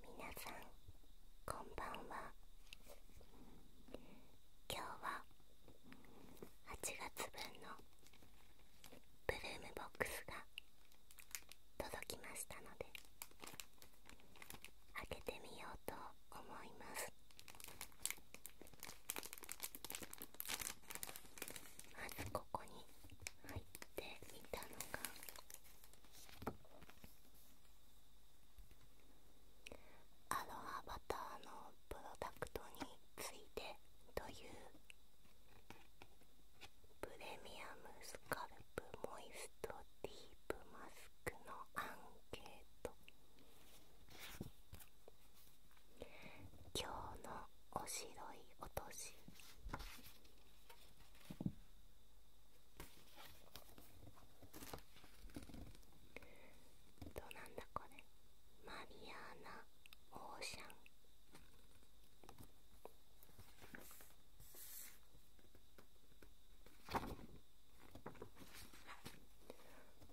皆さんこんばんは今日は8月分のブルームボックスが届きましたので開けてみようと思いますまずこここに入っていたのがアロハバターのプロダクトについてというプレミアムスカルプモイストディープマスクのアンケート今日のおしいおとどうなんだこれマリアーナオーシャン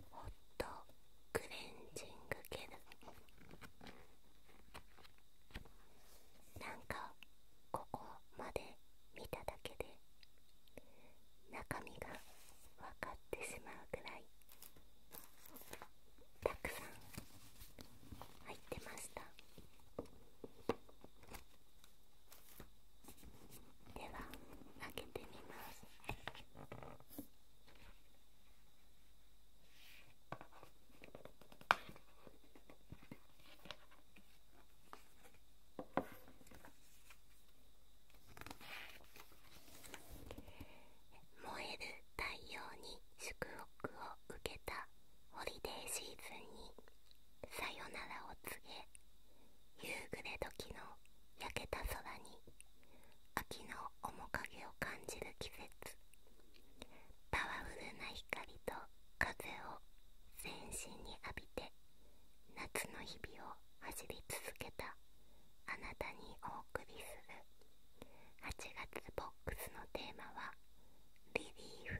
ホットクレンジングゲルなんかここまで見ただけで中身が分かってしまうくらいたくさん入ってましたでは開けてみます燃える太陽に祝福を受けたホリデーシーズンにさよならを告げ夕暮れ時の焼けた空に秋の面影を感じる季節パワフルな光と風を全身に浴びて夏の日々を走り続けたあなたにお送りする8月ボックスのテーマは「リリーフ」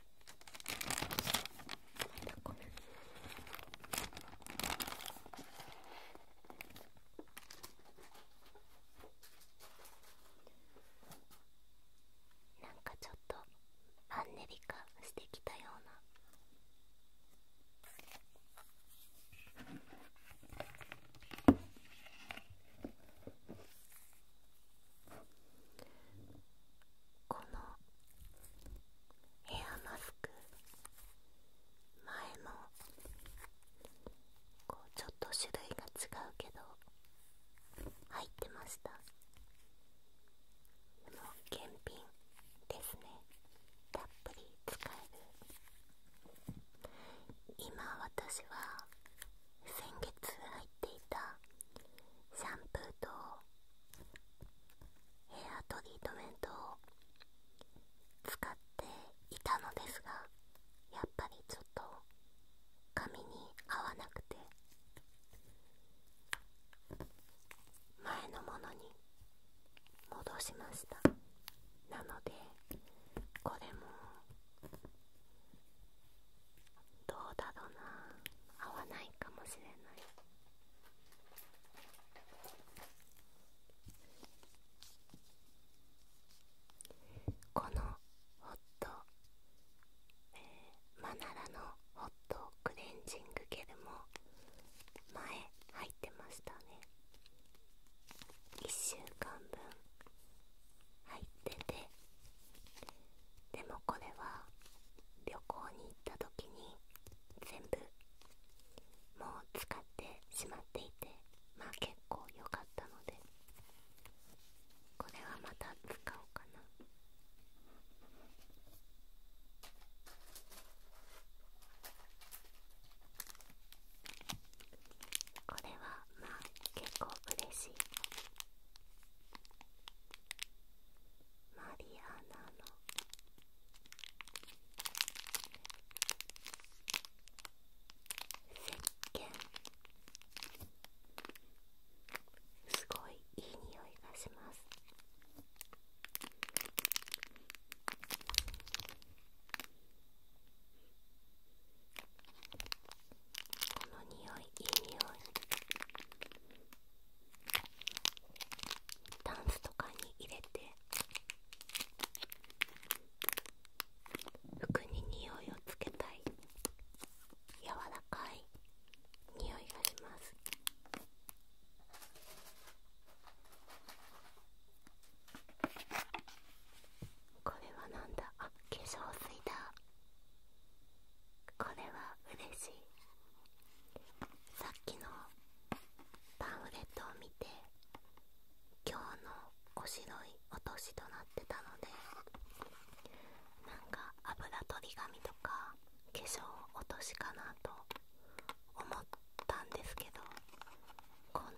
なんかちょっとマンネリ化してきたような。このヘアマスク前もこうちょっと種類が違うけど入ってましたでも検品ですねたっぷり使える今私は先月入っていたシャンプーとヘアトリートメントを使っていたのですがやっぱりちょっと髪に合わなくて前のものに戻しましたなのでこれもどうだろうな合わないかもしれないこのホット、えー、マナラのホットクレンジングケルも前入ってましたね1週間分入っててでもこれは旅行に行った時に全部もう使ってしまっていてまあ結構良かったのでこれはまた使おうかなこれはまあ結構嬉しいマリアナの石鹸すごいいい匂いがしますこの匂いいい匂いダンスとかに入れて服に匂いをつけたい柔らかい匂いがしますこれはなんだあ化粧水だこれは嬉しいさっきのパンフレットを見て今日のお白いおしとなってたのでなんか油取り紙とか化粧落としかなと思ったんですけどこんな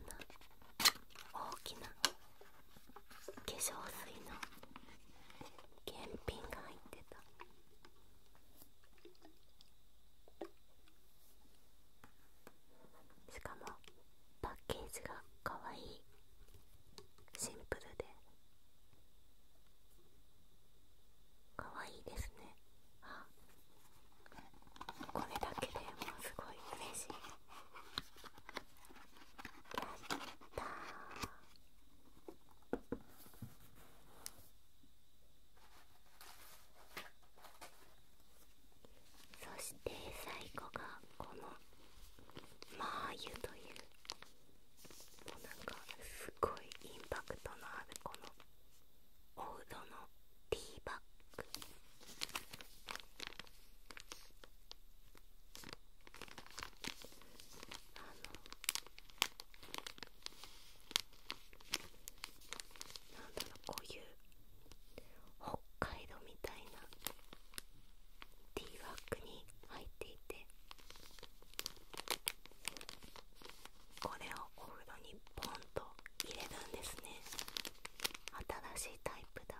大きな化粧水の検品が入ってたしかもパッケージがかわいいシンプルでかわいいですねあこれだけでもうすごい嬉しいそして最後がこのマー油というもうなんかすごいインパクトのあるこのおうどのティーバッグあのなんだろうこういう北海道みたいなティーバッグに入っていてこれをお風呂にポン入れるんですね新しいタイプだ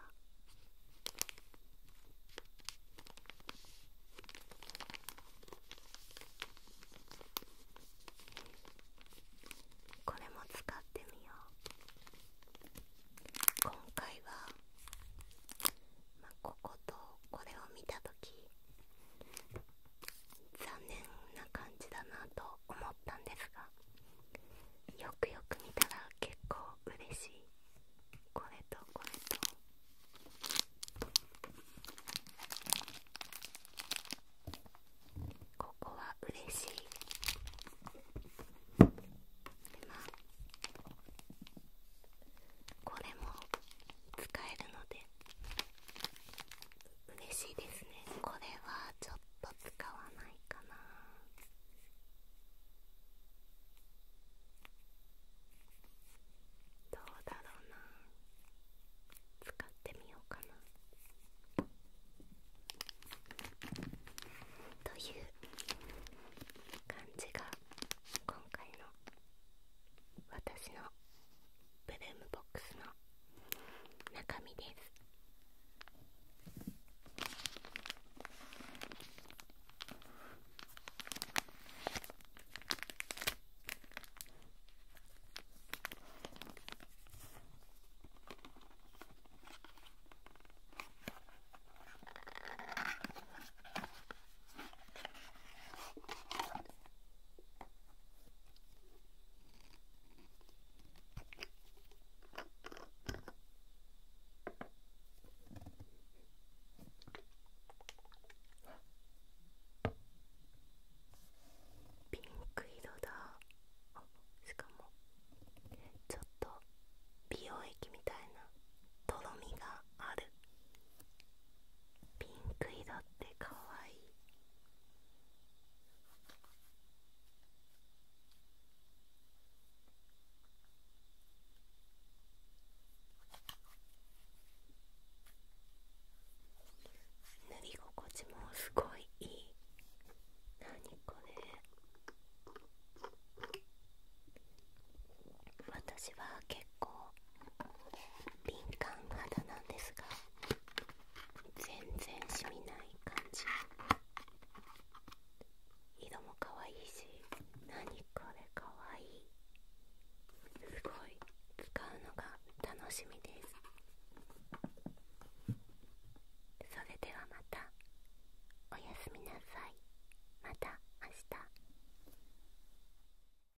これも使ってみよう今回は、こことこれを見た時残念な感じだなと思ったんですがよくよく見たら結構嬉しいこれとこれとここは嬉しいこれも使えるので嬉しいですねこれはちょっ使わないかなどうだろうな使ってみようかなという感じが今回の私のブルームボックスの中身ですピンク色だしかもちょっと美容液みたいなとろみがあるピンク色ってかわいい塗り心地もすごいいい何これ私は結構敏感肌なんですが全然染みない感じ色も可愛いし何これ可愛いすごい使うのが楽しみですそれではまたおやすみなさいまた明日